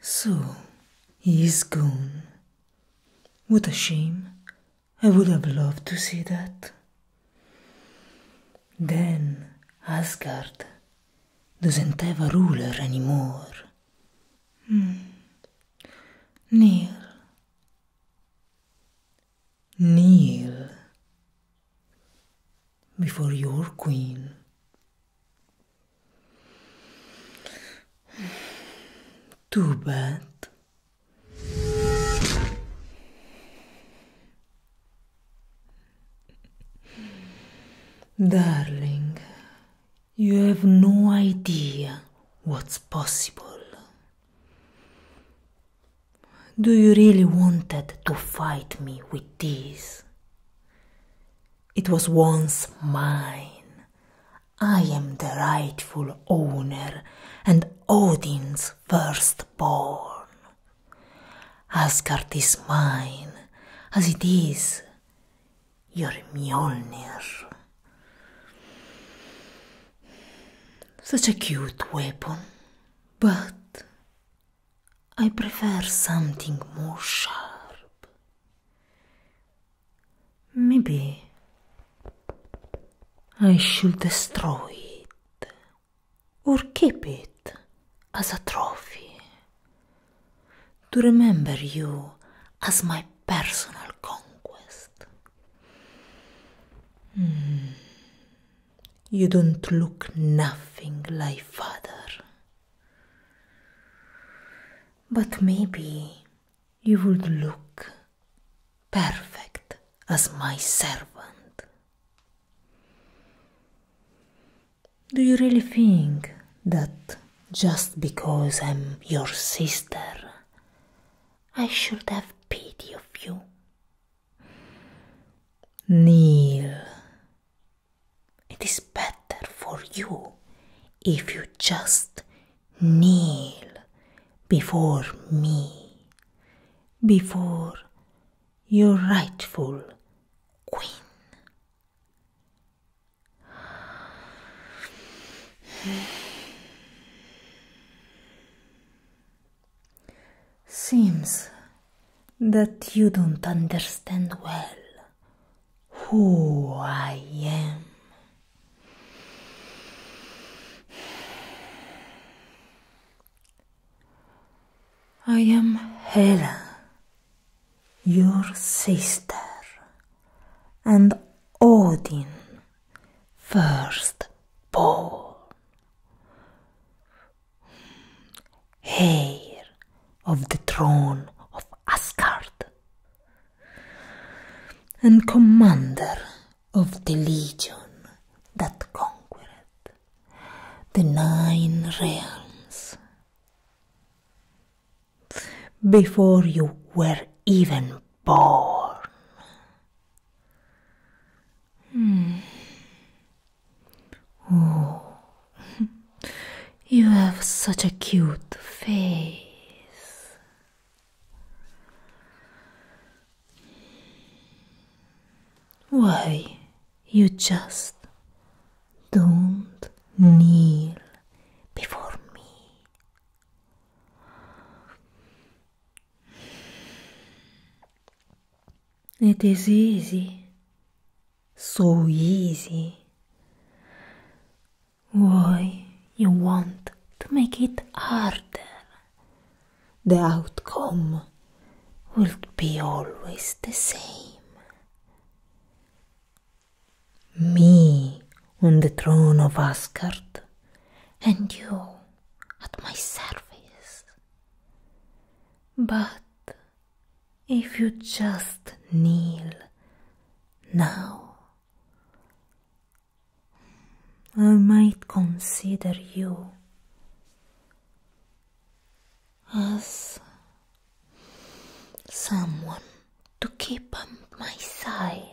So, he is gone. What a shame. I would have loved to see that. Then Asgard doesn't have a ruler anymore. Hmm. Near. kneel before your queen. Too bad. Darling, you have no idea what's possible. Do you really wanted to fight me with this? It was once mine. I am the rightful owner and Odin's firstborn. Asgard is mine, as it is your Mjolnir. such a cute weapon, but I prefer something more sharp. Maybe I should destroy it or keep it as a trophy to remember you as my personal conquest. Hmm. You don't look nothing like father. But maybe you would look perfect as my servant. Do you really think that just because I'm your sister, I should have pity of you. Kneel. It is better for you if you just kneel before me, before your rightful queen. Seems that you don't understand well who I am. I am Hela, your sister, and Odin firstborn. Heir of the throne of Asgard and commander of the legion that conquered the nine realms. Before you were even born, Hmm. Oh, you have such a cute face. Why, you just don't kneel before me. It is easy, so easy. Why you want to make it harder? The outcome will be always the same. Me on the throne of Asgard and you at my service. But if you just kneel now, I might consider you as someone to keep on my side.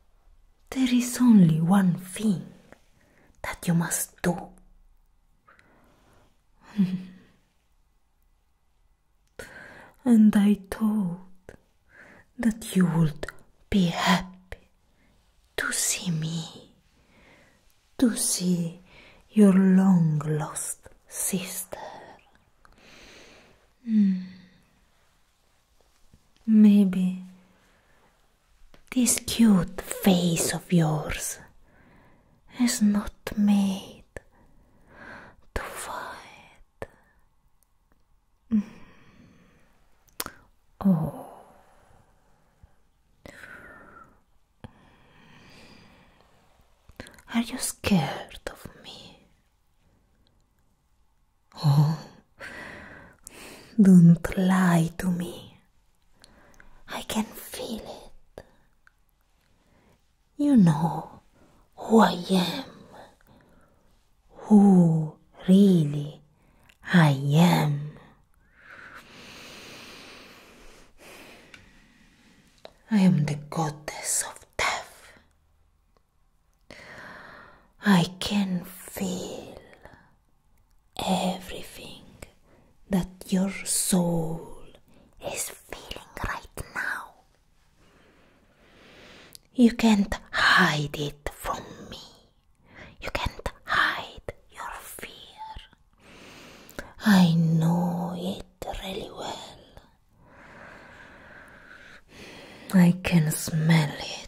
There is only one thing that you must do. and I thought that you would be happy to see me, to see your long lost sister. Hmm. Maybe this cute face of yours is not made to fight. Mm. Oh. Are you scared of me? Oh, don't lie to me. I can feel it. You know who I am. Who really I am. I am the goddess of death. I can feel everything that your soul is feeling right now. You can't hide it from me. You can't hide your fear. I know it really well. I can smell it.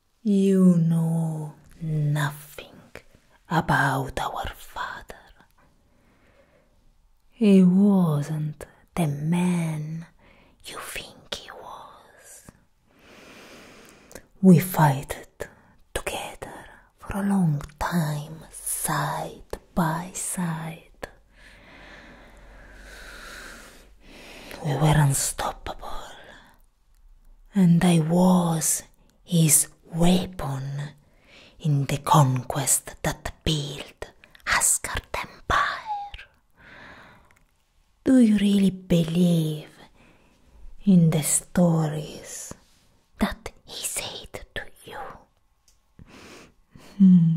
You know nothing about our father. He wasn't the man you think he was. We fought it together for a long time, side by side. We were unstoppable, and I was his weapon in the conquest that built Asgard Empire. Do you really believe in the stories that he said to you? Hmm.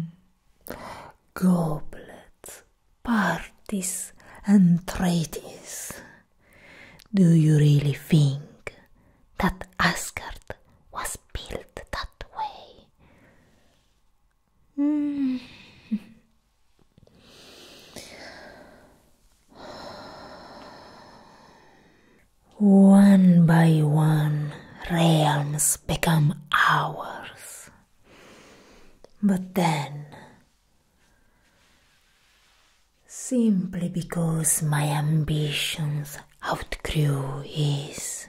Goblets, parties, and treaties. Do you really think that Asgard was built that way? Mm. one by one realms become ours. But then Simply because my ambitions outgrew his,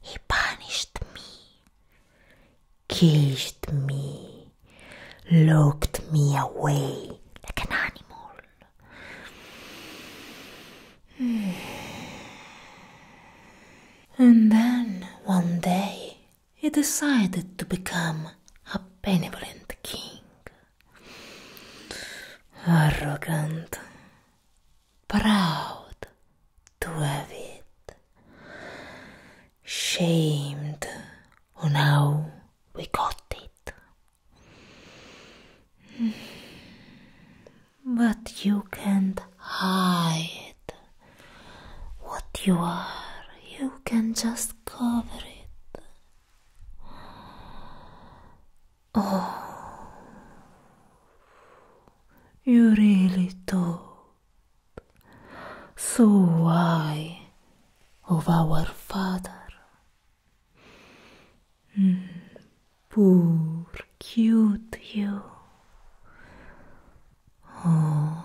he punished me, killed me, locked me away like an animal. And then one day he decided to become a benevolent king arrogant, proud to have it, shamed on how we got it. Hmm. But you can't hide what you are, you can just cover it. you really to so why oh our father hmm. pour cute you oh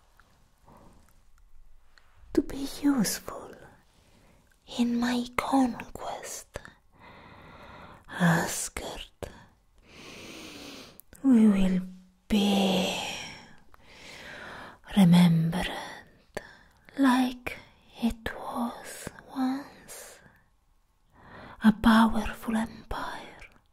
to be useful in my conquest. Asgard, we will be remembered like it was once a powerful empire.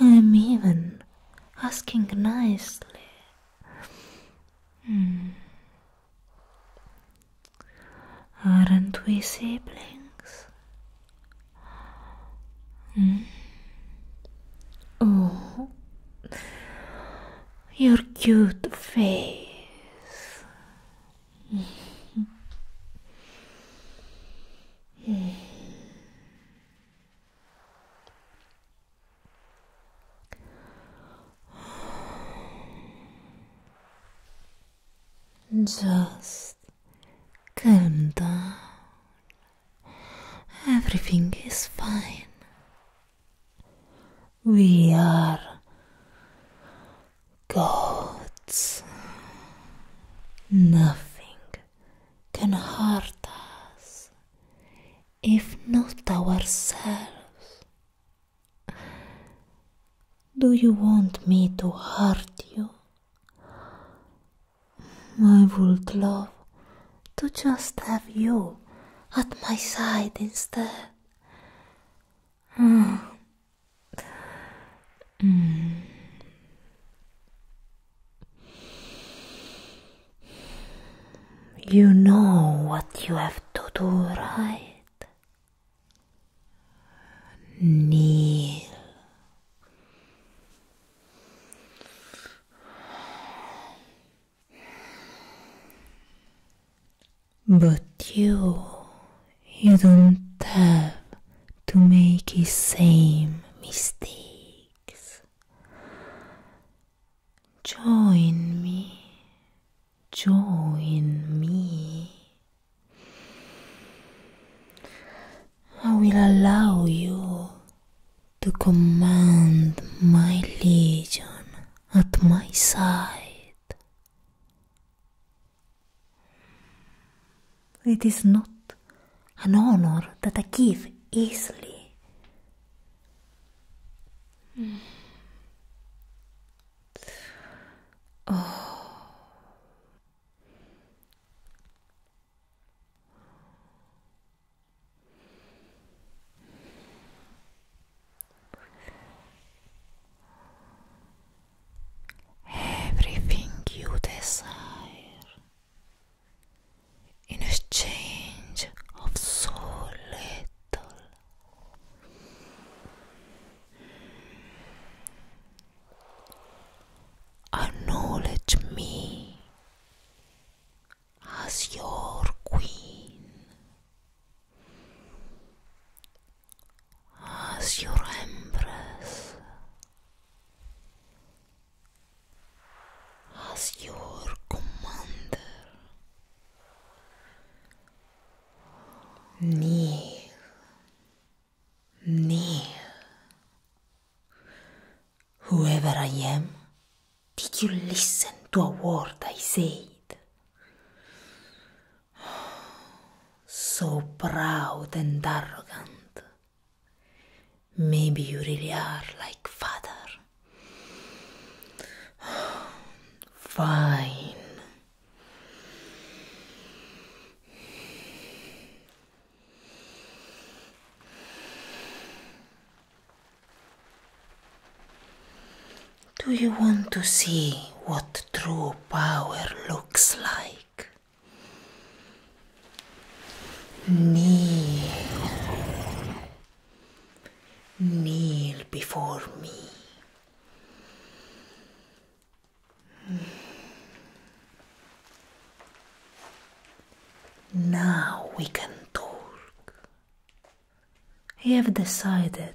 I'm even asking nicely. Hmm. Aren't we siblings? Hmm. Oh, your cute face. Just calm down. Everything is fine. We are gods. Nothing can hurt us if not ourselves. Do you want me to hurt you? I would love to just have you at my side instead. Mm, Mm. You know what you have to do, right? Kneel. But you you don't have to make the same mistakes. Join me, join me. I will allow you to command my legion at my side. It is not an honor that I give easily. Oh everything you desire in exchange of so little. Acknowledge me as your queen. as your empress, as your commander. Kneel, kneel. Whoever I am, did you listen to a word I say? So proud and arrogant. Maybe you really are like father. Fine. Do you want to see what true power looks like? Kneel. Kneel before me. Now we can talk. I have decided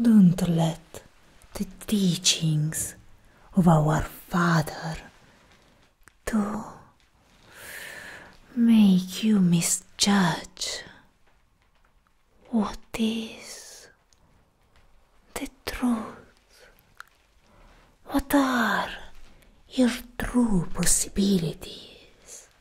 Don't let the teachings of our father to make you misjudge what is the truth. What are your true possibilities?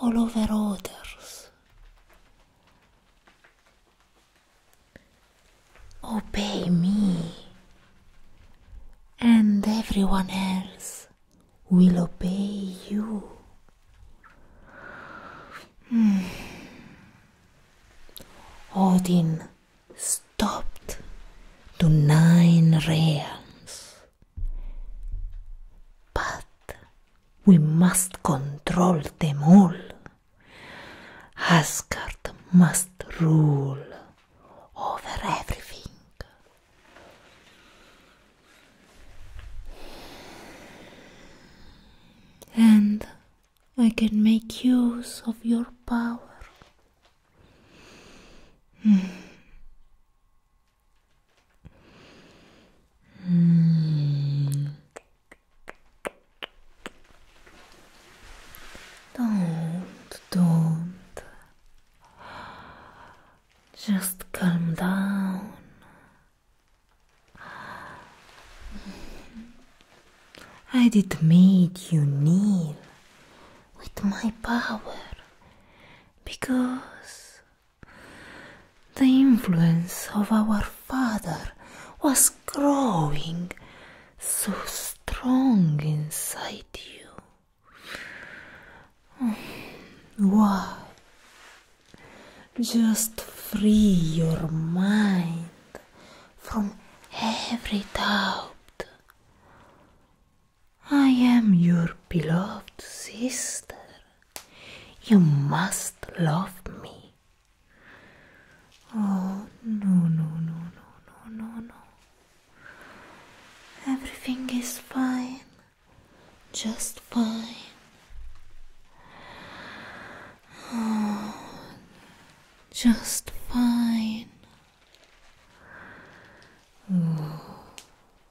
all over others. Obey me, and everyone else will obey you. Mm. Odin stopped to nine realms. But we must control them all. Asgard must rule over everything. And I can make use of your power. Hmm. 嗯，don't, don't. Just calm down. I did made you kneel with my power because the influence of our father was growing so strong inside you. Why? Just free your mind from every doubt. I am your beloved sister. You must love me. Oh, no, no, no, no, no, no, no. Everything is fine. Just fine. Oh, just fine. Oh,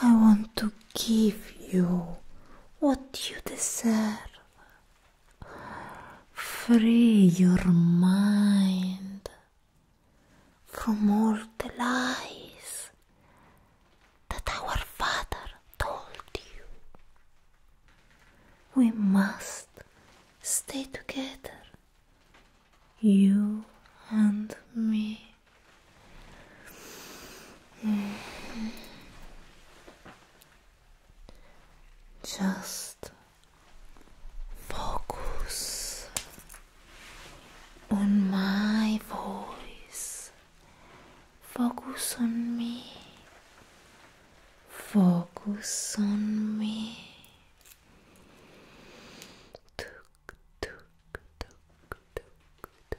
I want to give you what you deserve. Free your mind from all the lies that our father told you. We must stay together, you and me. Just focus on my voice, focus on me, focus on me. Tuk, tuk, tuk, tuk, tuk,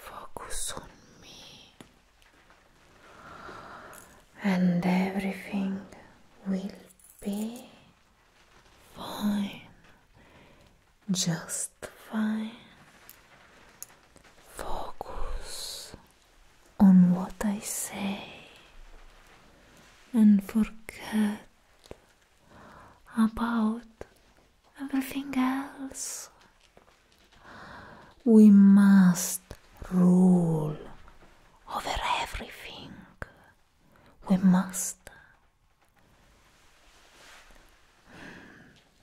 Focus on me, and everything will be fine just fine. Focus on what I say and forget about everything else. We must rule over everything. We must.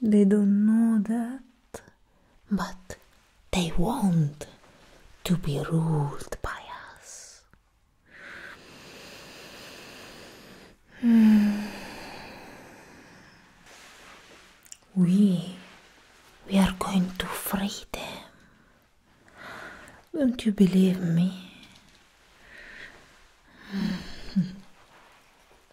They don't know that, but they want to be ruled by us. Hmm. We, we are going to free them. Don't you believe me? Hmm.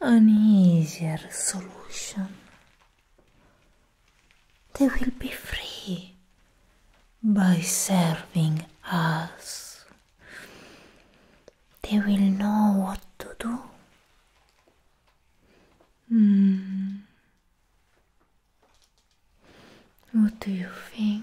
an easy resolution they will be free by serving us they will know what to do hmm. what do you think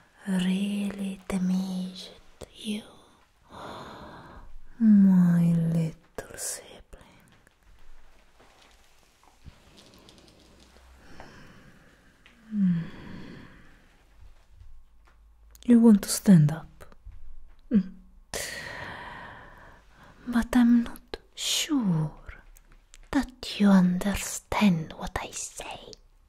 really damaged you, my little sibling. You want to stand up, mm. but I'm not sure that you understand what I say.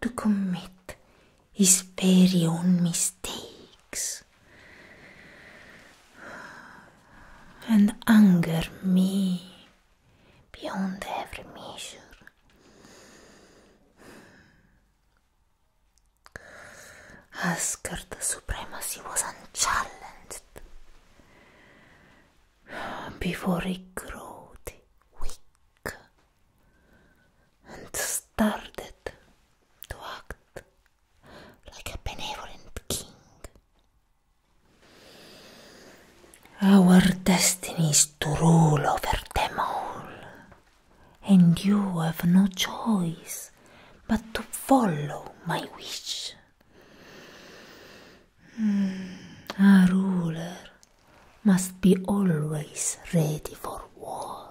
To commit his very own mistakes and anger me beyond every measure. Asgard's supremacy was unchallenged. before he grew weak and started to act like a benevolent king. Our destiny is to rule over them all, and you have no choice but to follow my wish. A ruler must be always ready for war.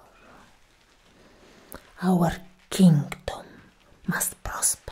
Our kingdom must prosper.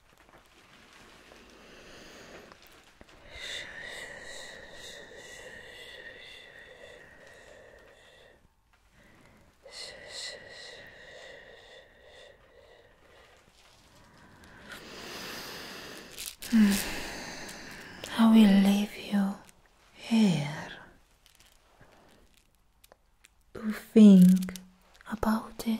I will leave you here to think about it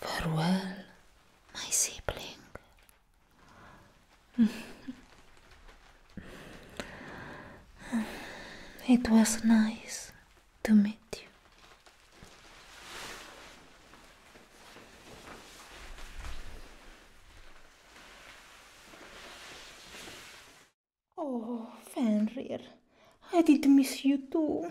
Farewell, my sibling. it was nice to meet you. Oh, Fenrir, I did miss you too.